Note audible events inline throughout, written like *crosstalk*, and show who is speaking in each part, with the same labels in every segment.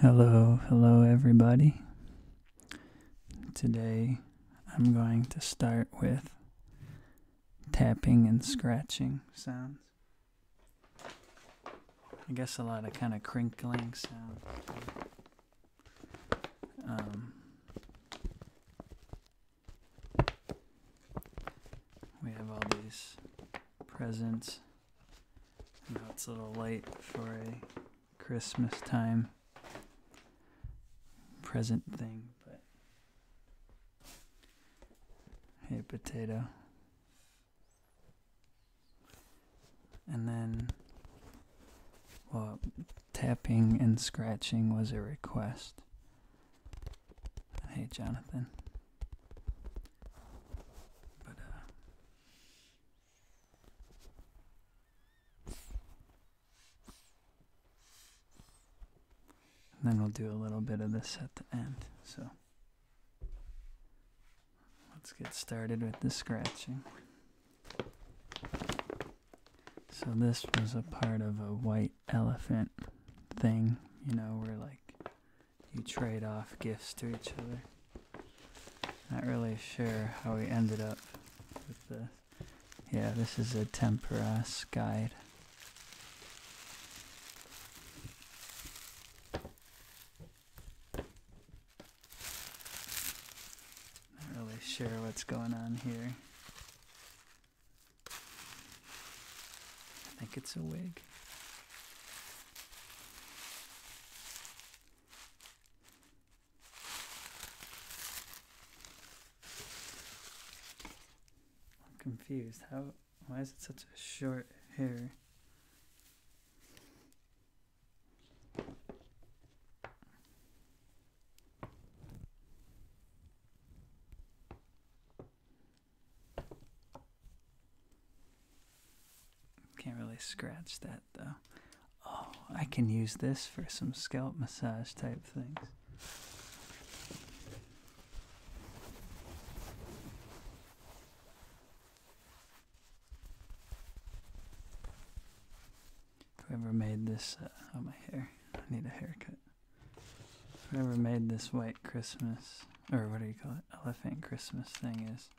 Speaker 1: Hello, hello, everybody. Today I'm going to start with tapping and scratching sounds. I guess a lot of kind of crinkling sounds. Um, we have all these presents. I it's a little late for a Christmas time present thing, but hey, potato. And then, well, tapping and scratching was a request. Hey, Jonathan. But, uh, then we'll do a little bit of this at the end. So let's get started with the scratching. So this was a part of a white elephant thing, you know, where like you trade off gifts to each other. Not really sure how we ended up with this. Yeah, this is a tempera guide. Not really sure what's going on here. I think it's a wig. I'm confused. How? Why is it such a short hair? Can't really scratch that though. Oh, I can use this for some scalp massage type things. Whoever made this, uh, oh, my hair, I need a haircut. Whoever made this white Christmas, or what do you call it, elephant Christmas thing is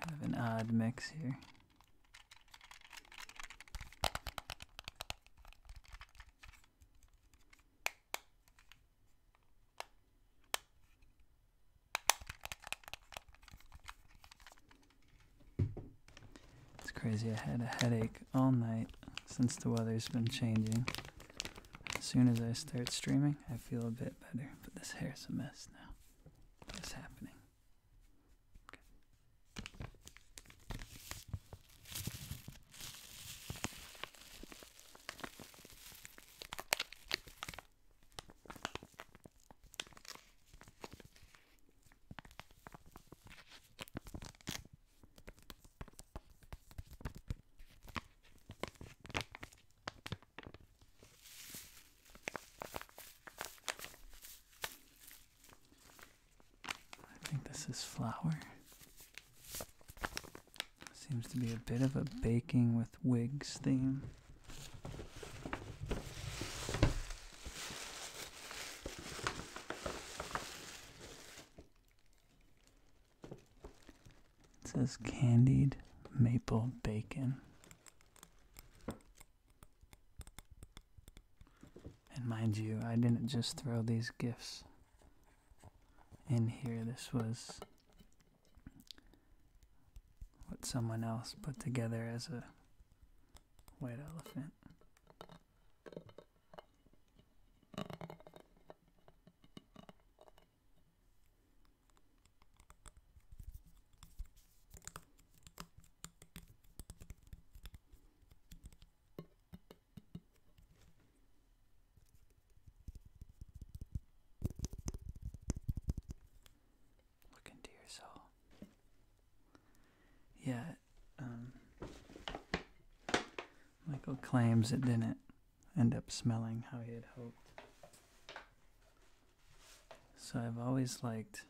Speaker 1: Kind of an odd mix here. It's crazy, I had a headache all night since the weather's been changing. As soon as I start streaming, I feel a bit better, but this hair's a mess now. What is happening? I think this is flour. Seems to be a bit of a baking with wigs theme. It says candied maple bacon. And mind you, I didn't just throw these gifts in here. This was what someone else put together as a white elephant. Look into your soul. Yeah, um, Michael claims it didn't end up smelling how he had hoped. So I've always liked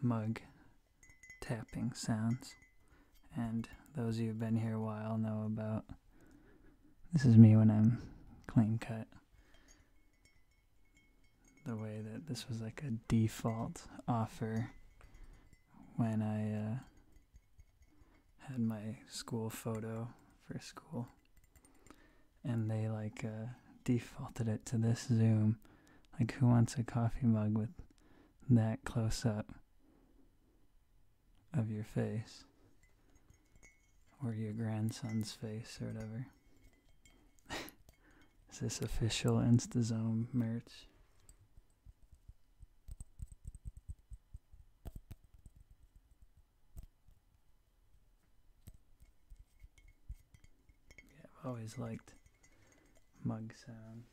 Speaker 1: mug tapping sounds. And those of you who've been here a while know about this is me when I'm clean cut. The way that this was like a default offer when I uh, had my school photo for school and they like uh, defaulted it to this zoom. Like, who wants a coffee mug with that close up of your face? Or your grandson's face, or whatever. *laughs* Is this official InstaZoom merch? Yeah, I've always liked mug sounds.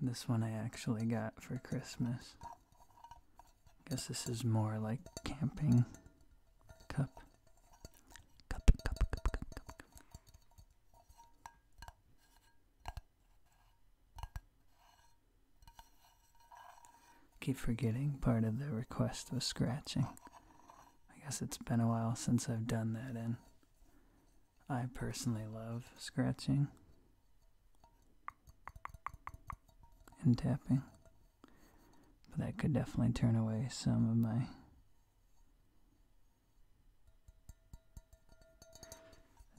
Speaker 1: This one I actually got for Christmas. Guess this is more like camping cup. Keep forgetting part of the request was scratching. I guess it's been a while since I've done that, and I personally love scratching and tapping. But that could definitely turn away some of my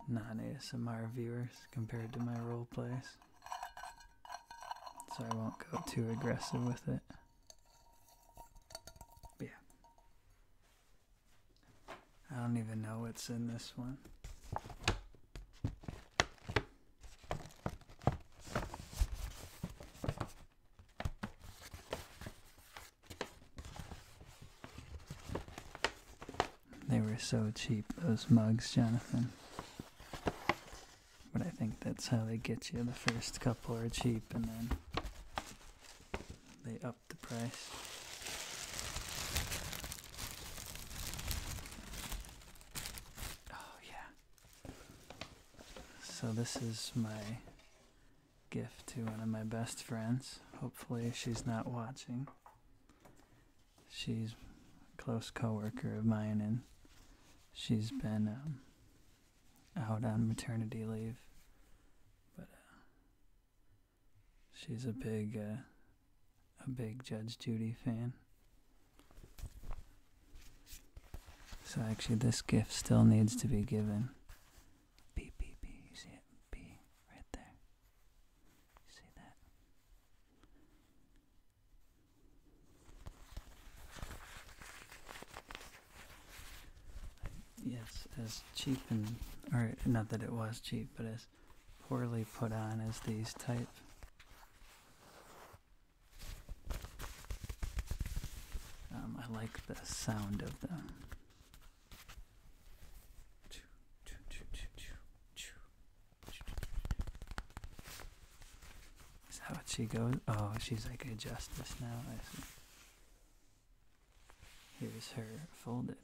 Speaker 1: non ASMR viewers compared to my role plays so I won't go too aggressive with it. yeah. I don't even know what's in this one. They were so cheap, those mugs, Jonathan. But I think that's how they get you. The first couple are cheap and then they up the price. Oh, yeah. So, this is my gift to one of my best friends. Hopefully, she's not watching she's a close coworker of mine, and she's been um, out on maternity leave. But uh, she's a big, uh, a big Judge Judy fan. So actually, this gift still needs to be given. Beep, beep, beep. You see it? B right there. see that? Yes, as cheap and, or not that it was cheap, but as poorly put on as these type. Um, I like the sound of them. Is that what she goes? Oh, she's like a justice now. I see. Here's her folded.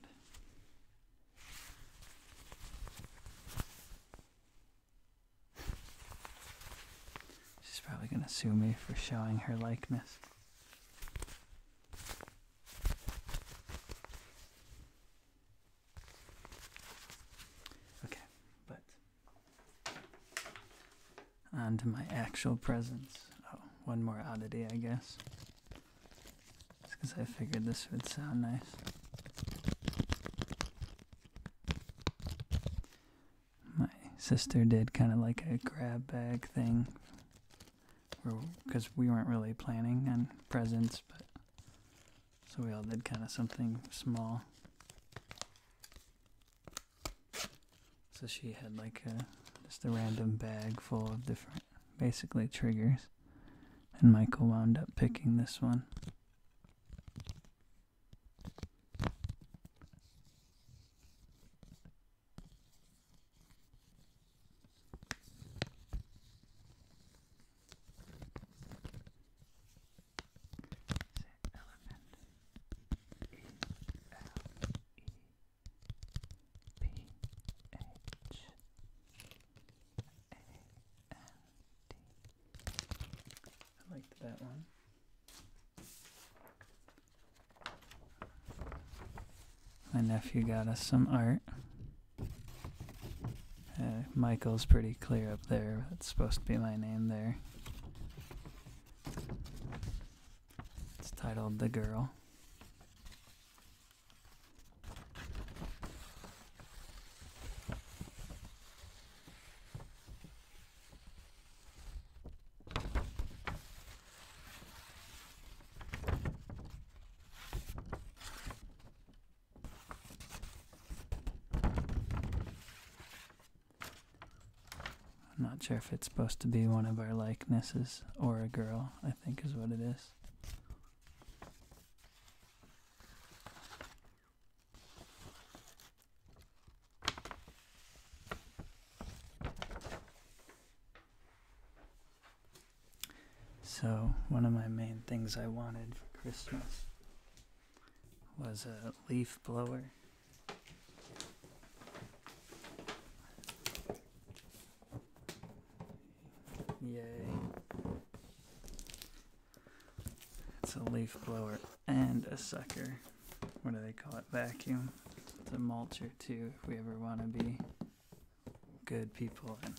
Speaker 1: She's probably going to sue me for showing her likeness. Okay, but on to my actual presents. Oh, one more oddity, I guess. It's because I figured this would sound nice. My sister did kind of like a grab bag thing because we weren't really planning on presents, but so we all did kind of something small. So she had like just a random bag full of different basically triggers. And Michael wound up picking this one. Is it liked that one. My nephew got us some art. Uh, Michael's pretty clear up there. It's supposed to be my name there. It's titled The Girl. I'm not sure if it's supposed to be one of our likenesses or a girl, I think is what it is. So, one of my main things I wanted for Christmas was a leaf blower. Yay. It's a leaf blower and a sucker. What do they call it? Vacuum. It's a mulcher too if we ever want to be good people and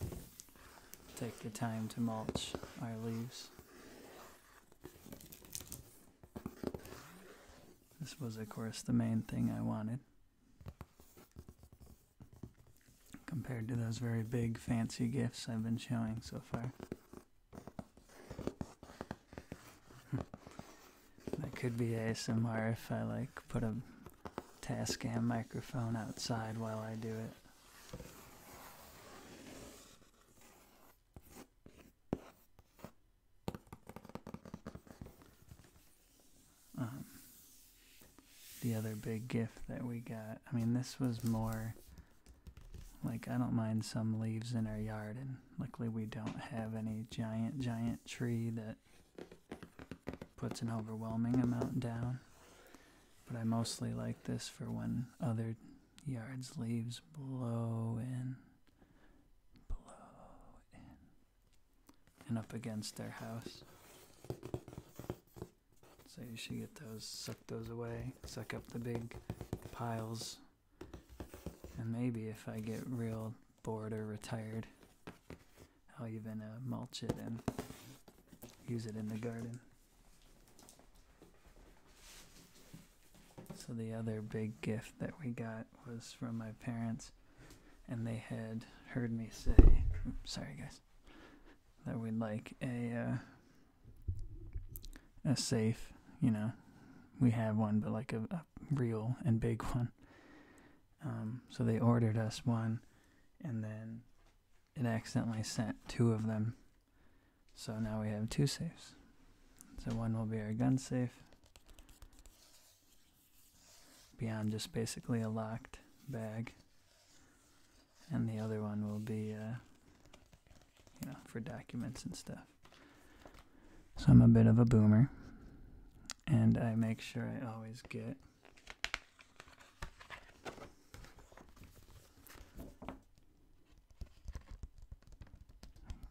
Speaker 1: take the time to mulch our leaves. This was, of course, the main thing I wanted. Compared to those very big, fancy gifts I've been showing so far. *laughs* that could be ASMR if I, like, put a Tascam microphone outside while I do it. Um, the other big gift that we got, I mean, this was more like I don't mind some leaves in our yard, and luckily we don't have any giant, giant tree that puts an overwhelming amount down. But I mostly like this for when other Yards leaves blow in, blow in, and up against their house. So you should get those, suck those away, suck up the big piles. And maybe if I get real bored or retired, I'll even uh, mulch it and use it in the garden. So the other big gift that we got was from my parents, and they had heard me say, "Sorry guys," that we'd like a uh, a safe. You know, we have one, but like a, real and big one. Um, so they ordered us one, and then it accidentally sent two of them so now we have two safes. So one will be our gun safe. Beyond just basically a locked bag. And the other one will be, uh, you know, for documents and stuff. So I'm a bit of a boomer. And I make sure I always get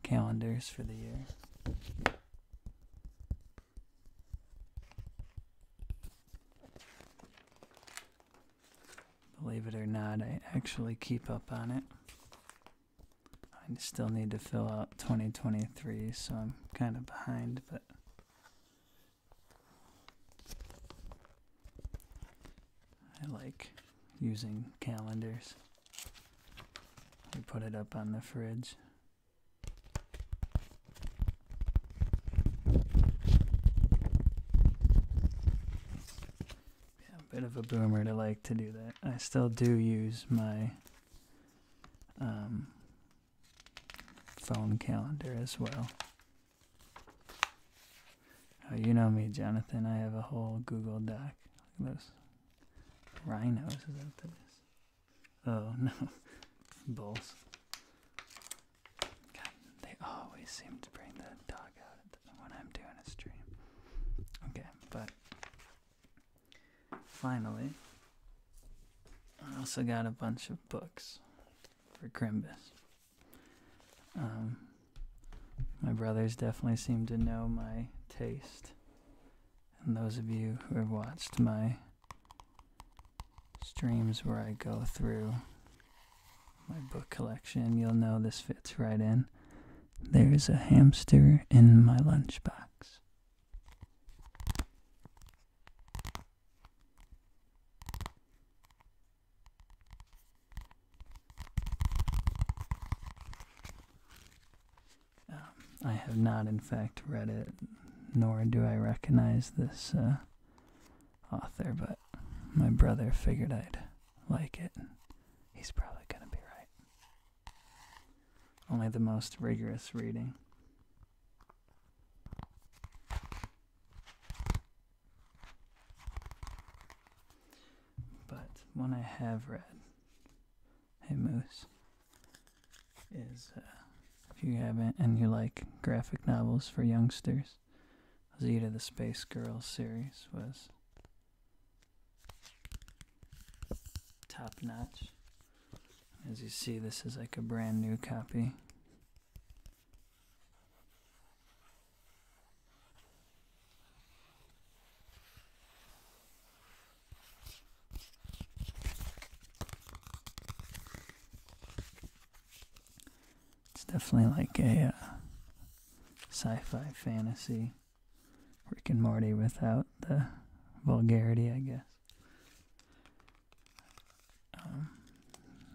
Speaker 1: calendars for the year. Believe it or not, I actually keep up on it. I still need to fill out 2023, so I'm kind of behind, but I like using calendars. We put it up on the fridge. a bit of a boomer to like to do that. I still do use my um, phone calendar as well. Oh, you know me, Jonathan. I have a whole Google Doc. those rhinos. Is that what Oh, *laughs* no. Bulls. they always seem to bring that dog out the, when I'm doing a stream. Okay, but finally, I also got a bunch of books for Crimbus. Um, my brothers definitely seem to know my taste. And those of you who have watched my streams where I go through my book collection, you'll know this fits right in. There's a hamster in my lunchbox. Um, I have not, in fact, read it, nor do I recognize this uh, author, but my brother figured I'd like it. He's probably going to be right. Only the most rigorous reading. But one I have read, Hey Moose, is uh, if you haven't and you like graphic novels for youngsters, Zeta the Space Girl series was top notch. As you see, this is like a brand new copy. It's definitely like a uh, sci-fi fantasy Rick and Morty without the vulgarity, I guess. Um,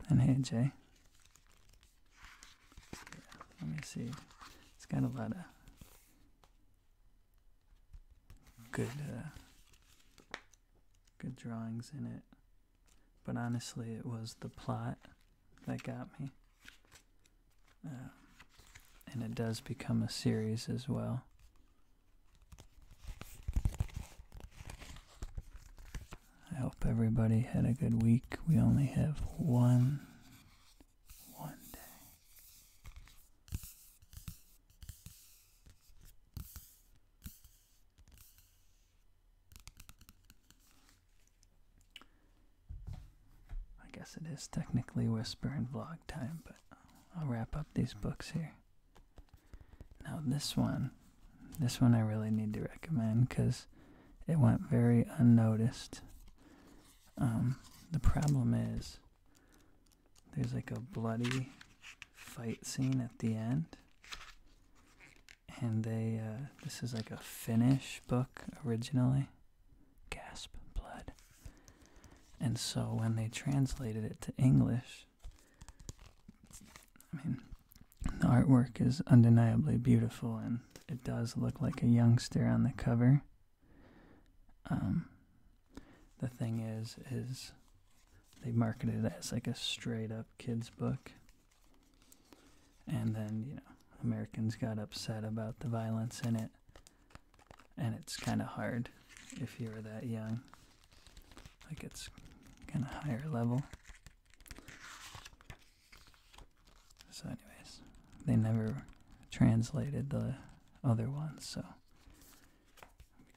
Speaker 1: and hey, Jay. Let me see. It's got a lot of good uh, good drawings in it. But honestly, it was the plot that got me. Uh, and it does become a series as well. I hope everybody had a good week. We only have one one day. I guess it is technically whisper and vlog time, but I'll wrap up these books here. Now, this one, this one I really need to recommend because it went very unnoticed. Um, the problem is there's like a bloody fight scene at the end, and they uh, this is like a Finnish book originally. Gasp, blood. And so when they translated it to English, I mean, the artwork is undeniably beautiful and it does look like a youngster on the cover. Um, the thing is, is they marketed it as like a straight up kids book, and then you know Americans got upset about the violence in it, and it's kind of hard if you are that young. Like it's kind of higher level. So, anyways, they never translated the other ones, so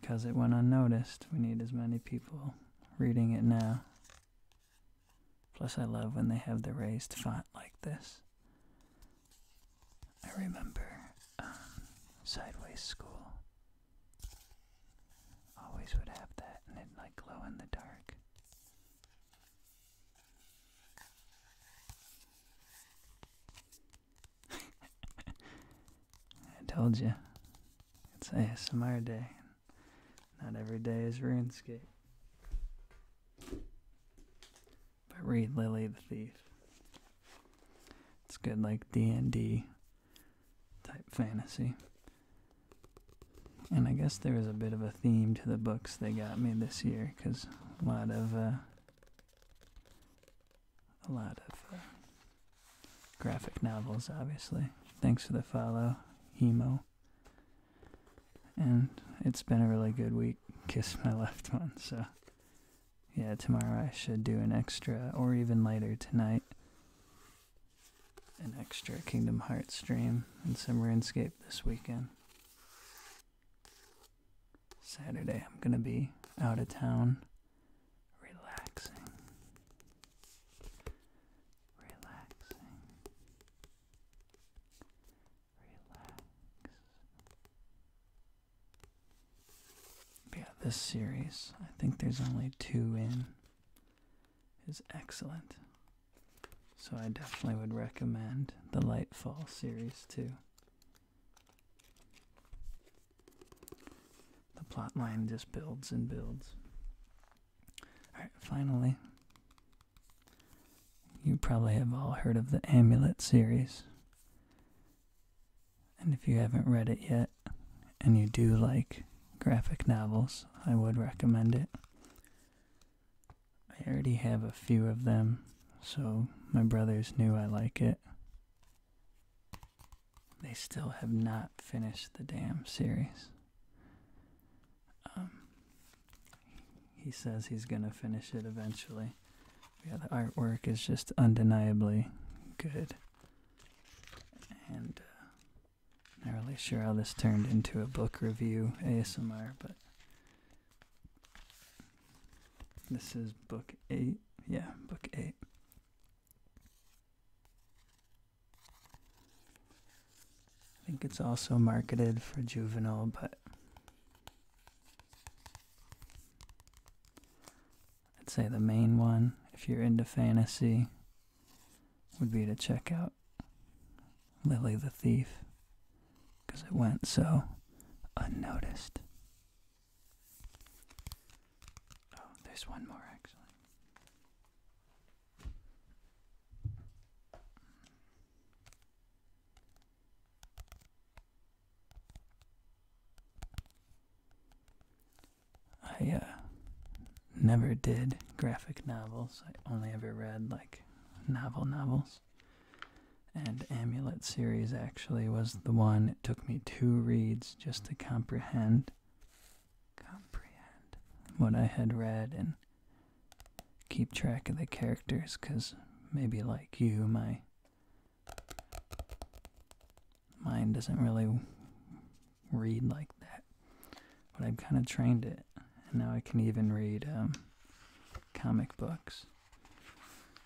Speaker 1: because it went unnoticed, we need as many people reading it now. Plus, I love when they have the raised font like this. I remember um, Sideways School always would have that, and it like glow in the dark. *laughs* I told you, it's a ASMR day. Not every day is RuneScape. But read Lily the Thief. It's good, like D and D type fantasy. And I guess there is a bit of a theme to the books they got me this year, because a lot of uh, a lot of uh, graphic novels, obviously. Thanks for the follow, Hemo. And it's been a really good week. Kiss my left one. So yeah, tomorrow I should do an extra, or even later tonight, an extra Kingdom Hearts stream and some RuneScape this weekend. Saturday, I'm going to be out of town relaxing. Relaxing. Relax. yeah, this series, I think there's only two in, is excellent. So I definitely would recommend the Lightfall series too. The plotline just builds and builds. Alright, finally, you probably have all heard of the Amulet series. And if you haven't read it yet, and you do like graphic novels, I would recommend it. I already have a few of them, so my brothers knew I like it. They still have not finished the damn series. Um, he says he's gonna finish it eventually. Yeah, the artwork is just undeniably good. And uh, not really sure how this turned into a book review ASMR, but this is book eight. Yeah, book eight. I think it's also marketed for juvenile, but I'd say the main one, if you're into fantasy, would be to check out Lily the Thief because it went so unnoticed. Oh, there's one more actually. I uh, never did graphic novels. I only ever read like novel novels. And Amulet series actually was the one it took me two reads just to comprehend comprehend what I had read and keep track of the characters cuz maybe like you my mind doesn't really read like that. But I've kind of trained it. And now I can even read um, comic books.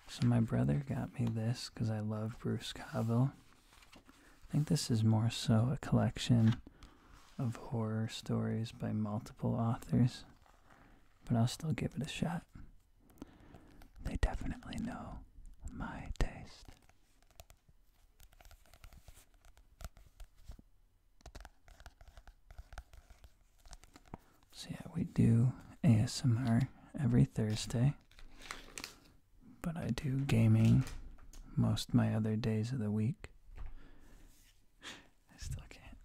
Speaker 1: So my brother got me this because I love Bruce Cavill. I think this is more so a collection of horror stories by multiple authors, but I'll still give it a shot. They definitely know my taste. So yeah, we do ASMR every Thursday, but I do gaming most my other days of the week. I still can't.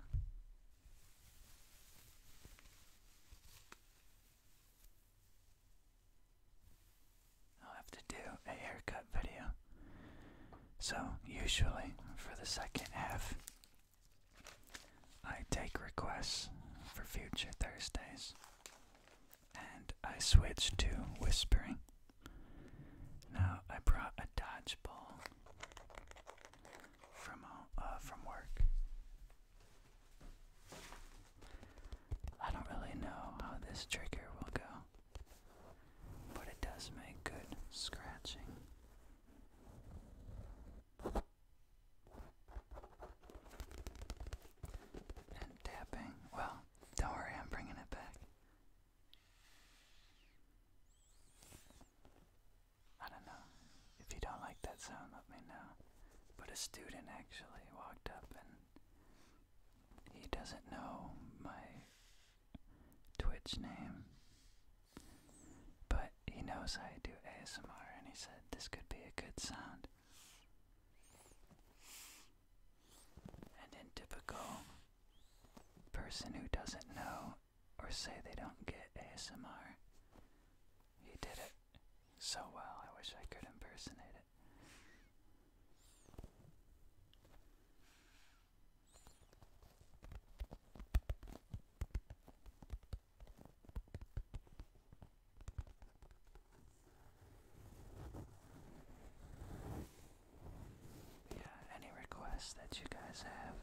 Speaker 1: I'll have to do a haircut video. So, usually for the second half I take requests for future Thursdays and I switch to whispering. Now I brought a dodgeball from uh, uh, from work. I don't really know how this trigger will go, but it does make good scratching. And tapping. Well, don't worry, I'm bringing it back. I don't know. If you don't like that sound, let me know. But a student actually walked up and he doesn't know my Twitch name. But he knows I do ASMR and he said this could be a good sound. And in typical person who doesn't know or say they don't get ASMR, he did it so well. I wish I could impersonate it. Yeah, any requests that you guys have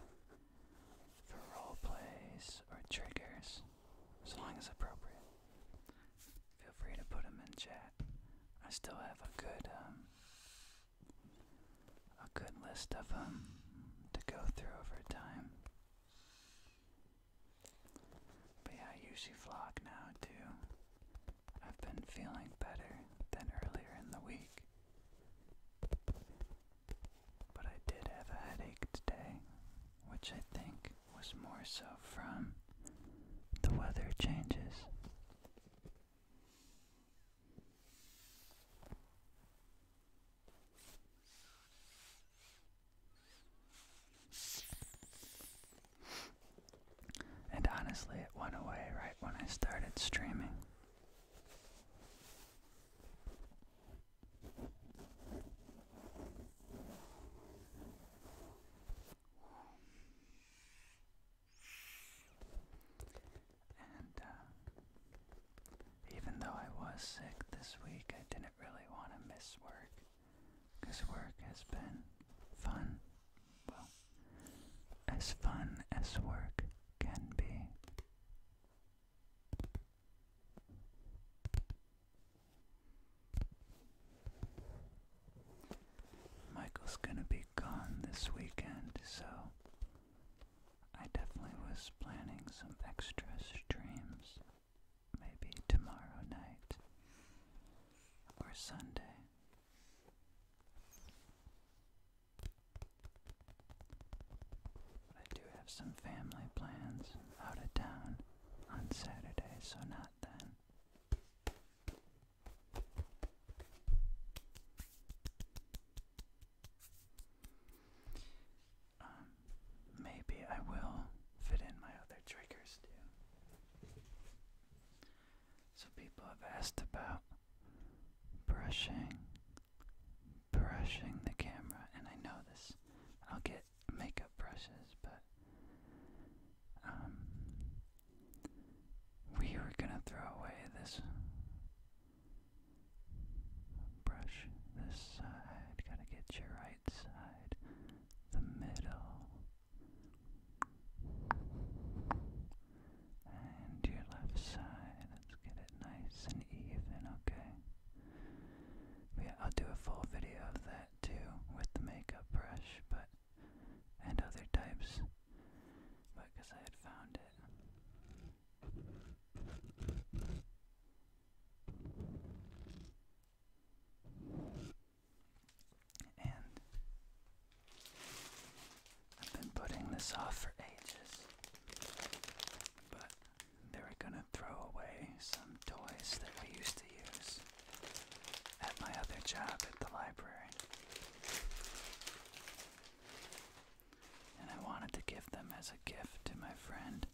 Speaker 1: for role plays or triggers, as long as appropriate, feel free to put them in chat. I still have a good um, a good list of them to go through over time. But yeah, I usually vlog now too. I've been feeling better than earlier in the week. But I did have a headache today, which I think was more so from the weather changes. And honestly, it went away right when I started streaming. And uh, even though I was sick this week, I didn't really want to miss work. work has been fun. Well, as fun as work can be. Michael's gonna be gone this weekend, so I definitely was planning some extra streams. Maybe tomorrow night or Sunday. But I do have some family plans out of town on Saturday, so not then. Um, maybe I will fit in my other triggers too. So people have asked about brushing, brushing the camera, and I know this. I'll get makeup brushes, but um, we were gonna throw away this Brush this side, gotta get your right side, the middle, and your left side. Let's get it nice and even, okay? Yeah, I'll do a full video of that too with the makeup brush, but and other types, but because I had found it. And I've been putting this off for ages, but they were gonna throw away some toys that we used to use at my other job at the library and I wanted to give them as a gift to my friend.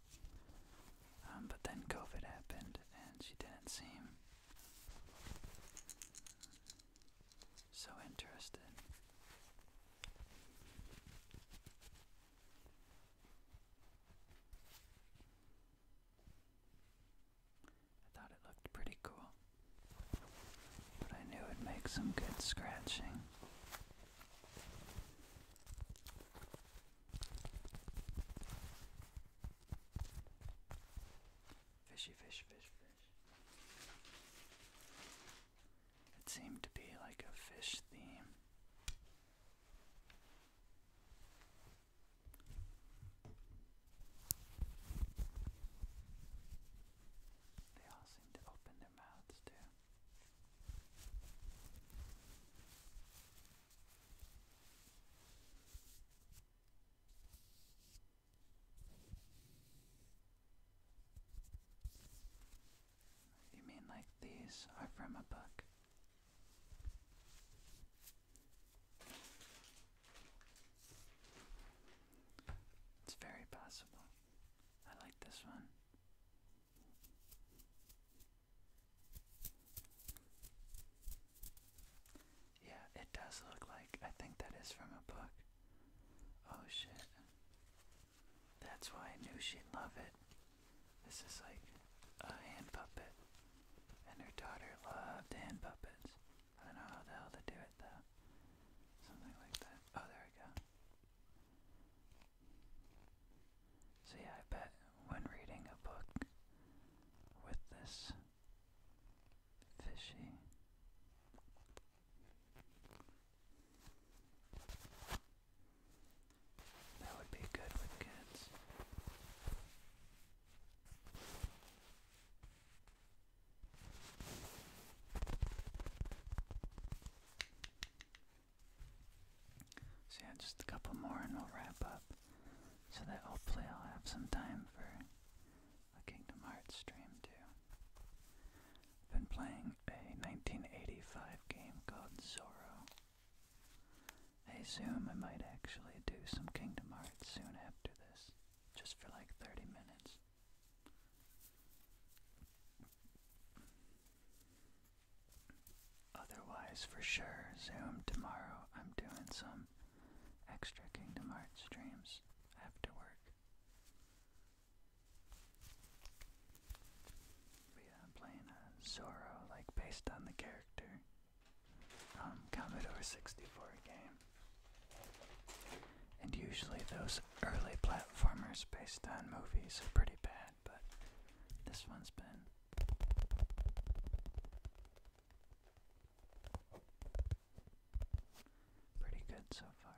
Speaker 1: Um, but then COVID happened, and she didn't seem so interested. I thought it looked pretty cool, but I knew it'd make some good scratching. Fishy, fish, fish, fish. It seemed to be like a fish theme. They all seem to open their mouths too. You mean like these are from a book? It's very possible. I like this one. Yeah, it does look like. I think that is from a book. Oh shit. That's why I knew she'd love it. This is like a hand puppet. And her daughter loved hand puppets. I don't know how the hell to do it though. Something like that. Oh, there we go. See, I bet when reading a book with this fishy that would be good with kids. So yeah, just a couple more and we'll wrap up. So that hopefully I'll have some time for a Kingdom Hearts stream too. I've been playing a 1985 game called Zoro. I assume I might actually do some Kingdom Hearts soon after this, just for like 30 minutes. Otherwise, for sure, Zoom tomorrow. I'm doing some extra Kingdom Hearts streams after work. yeah, I'm playing a Zoro, like based on the character, Commodore 64 game. And usually, those early platformers based on movies are pretty bad but this one's been pretty good so far.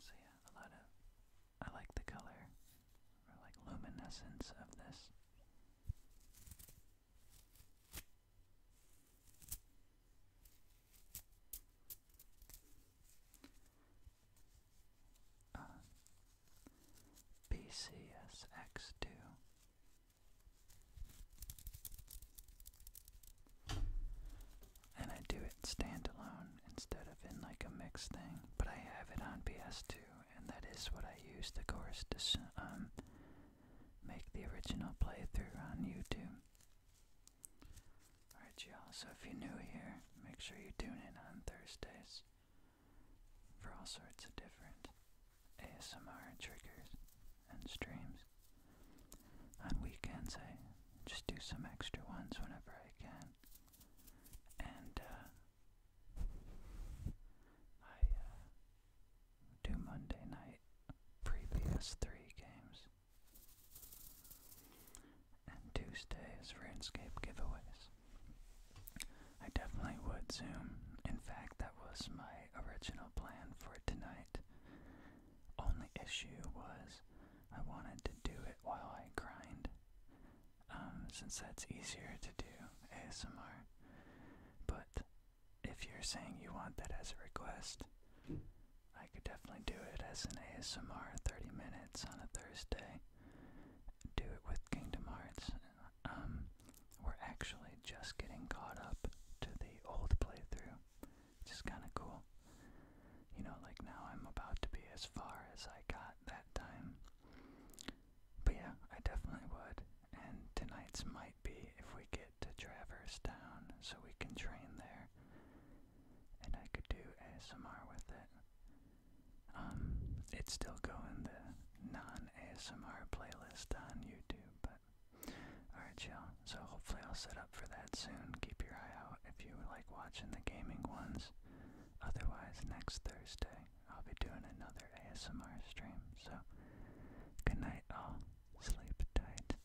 Speaker 1: So yeah, a lot of I like the color like luminescence of this uh, PCSX2. And I do it standalone instead of in like a mixed thing, but I have it on PS2, and that is what I use the course, to um, make the original playthrough on YouTube. Alright, y'all, so if you're new here, make sure you tune in on Thursdays for all sorts of different ASMR triggers and streams. On weekends, I just do some extra ones whenever I can. And, uh, I, uh, do Monday night previous three games and Tuesdays for Inscape giveaways. I definitely would Zoom. In fact, that was my original plan for tonight. Only issue was I wanted to do it while I grind, um, since that's easier to do ASMR. But if you're saying you want that as a request, I could definitely do it as an ASMR 30 minutes on a Thursday do it with Kingdom Hearts. Um, we're actually just getting caught up to the old playthrough, which is kind of cool. You know, like now I'm about to be as far as I got that time. But yeah, I definitely would. And tonight's might be if we get to Traverse Town so we can train there. And I could do ASMR with it. Um, it's still going the non-ASMR playlist on YouTube, but alright y'all, so hopefully I'll set up for that soon. Keep your eye out if you like watching the gaming ones. Otherwise, next Thursday I'll be doing another ASMR stream, so good night all, sleep tight.